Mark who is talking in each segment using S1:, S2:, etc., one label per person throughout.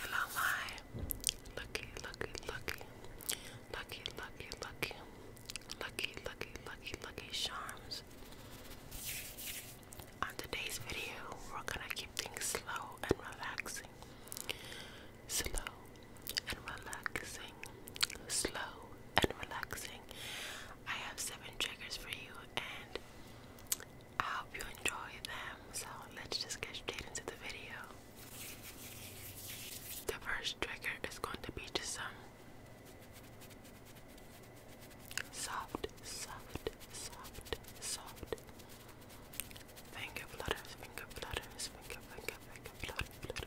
S1: Hello, my lucky, lucky, lucky, lucky, lucky, lucky, lucky, lucky, charms. On today's video, we're gonna keep things slow and relaxing. Slow and relaxing. Slow and relaxing. I have seven triggers for you, and I hope you enjoy them. So let's just get straight into the video. The first trigger is going to be just some soft, soft, soft,
S2: soft. Finger flutters, finger flutters, finger, finger, finger flutter,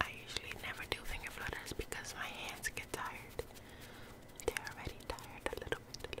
S1: I usually never do finger flutters because my hands get tired. They're already tired a little bit,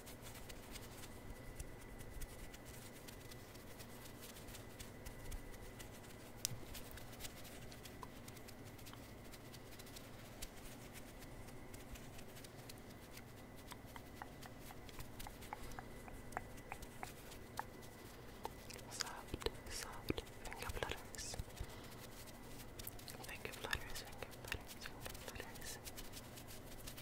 S1: Soft, soft finger flutters. Finger flutters, finger flutters, finger flutters.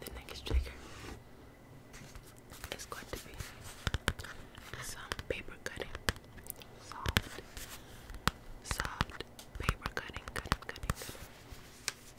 S1: The next trigger is going to be some paper cutting, soft, soft paper cutting, cutting, cutting,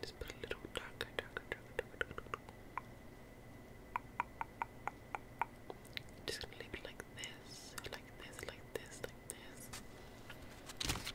S1: Just put a little darker, darker, darker, darker, darker. Just gonna leave it like this, like this, like this, like this.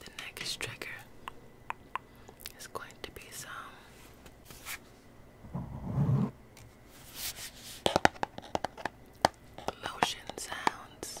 S1: The next trigger is going to be some motion sounds.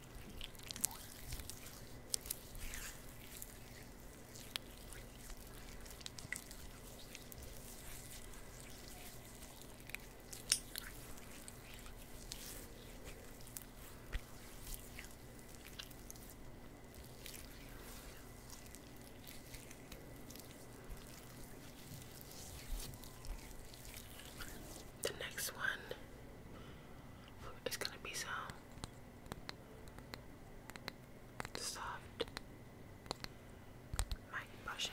S1: The next one it's gonna be some soft mic brushing.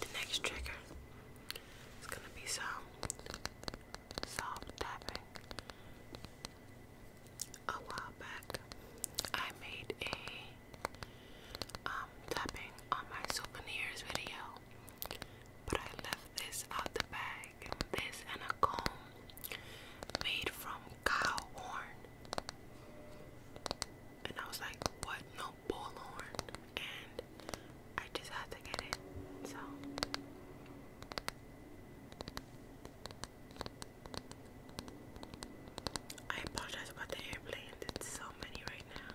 S1: The next trigger is going to be some soft tapping. A while back, I made a um, tapping on my souvenirs video, but I left this out the bag. This and a comb made from cow horn. And I was like, what? No bull And I just had to get it. So. I apologize about the airplane. There's so many right now.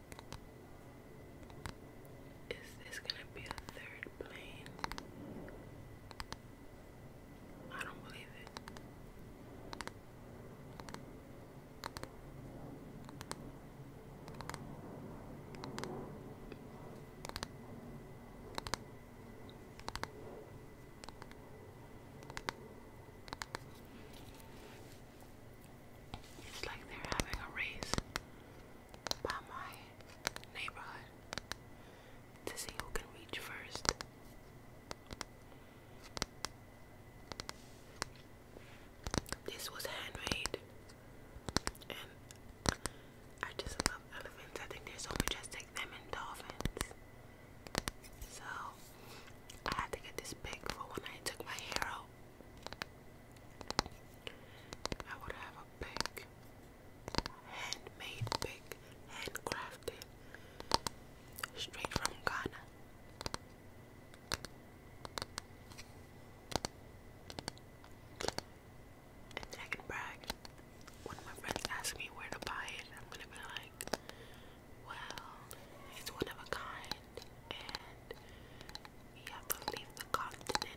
S1: Is this gonna be a third plane? I don't believe it. It's like they're having a race by my neighborhood to see who can reach first. This was handmade, and I just love elephants. I think they're so majestic, them and dolphins. So, I had to get this big for when I took my hair I would have a big handmade, big handcrafted straight from Ghana. And I can brag. When my friends ask me where to buy it, I'm gonna be like, well, it's one of a kind we have to leave the continent.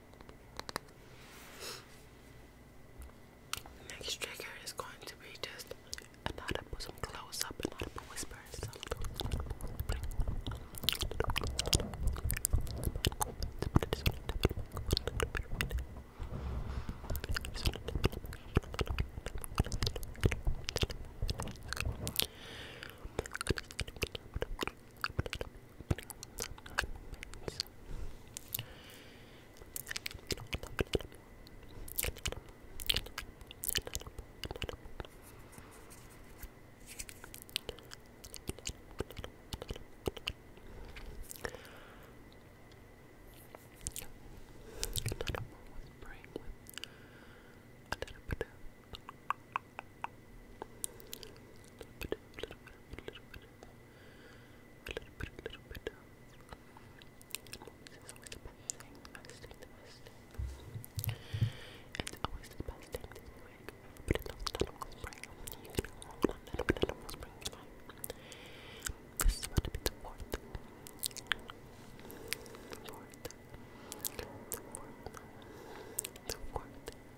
S1: The next trigger is going to be just an audible, some close up, and audible whispers. A little bit of bit, It's always the best thing, the best the best thing. It's always the best thing but it's not the normal spring. You can go on a little bit of normal spring, you This is about to be the fourth. The fourth. The fourth. The fourth.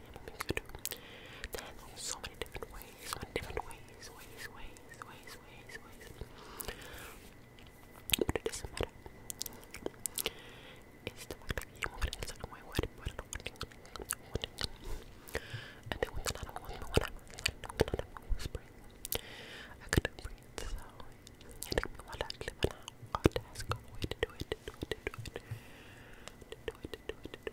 S1: name of music Then there's so many different ways, so many different ways, ways, ways, ways, ways, ways. But it doesn't matter. It's the fact that you move it in a certain way, what I don't want it. And then when I don't want it, when I'm whispering, I couldn't breathe, so it took me a while to actually find out how to ask a way to do it, to do it, to do it, to do it, to do it, to do it, to do it,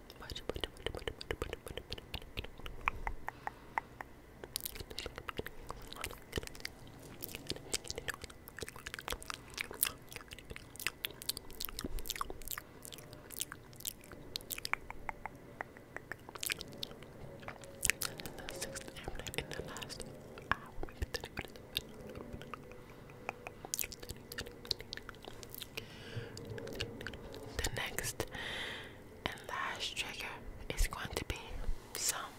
S1: the sixth airplane in the last hour, maybe 30 minutes. The next and last trigger is going to be some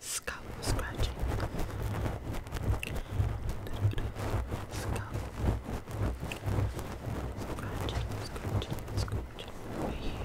S1: scalpel scratching. Scalpel scratching, scratching, scratching right here.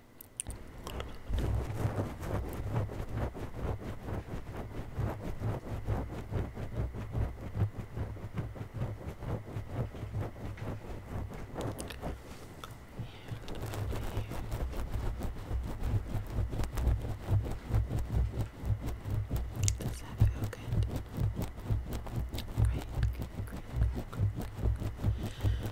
S2: Does that feel good? Great, good, great, good, good, good.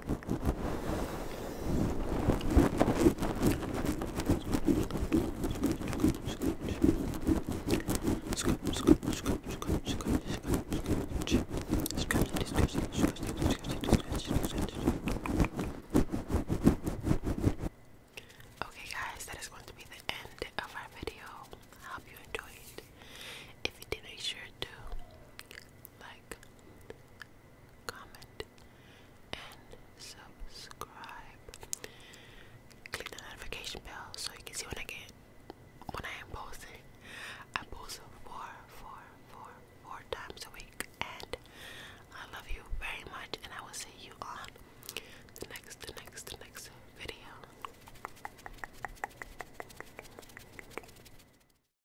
S2: Okay,
S1: guys, that is going to be the end of our video. I hope you enjoyed. If you did, make sure to like, comment, and subscribe. Click the notification bell so you can see when I get when I am posting. I post four, four, four, four times a week, and I love you very much. And I will see
S2: you on the next, the next, the next video.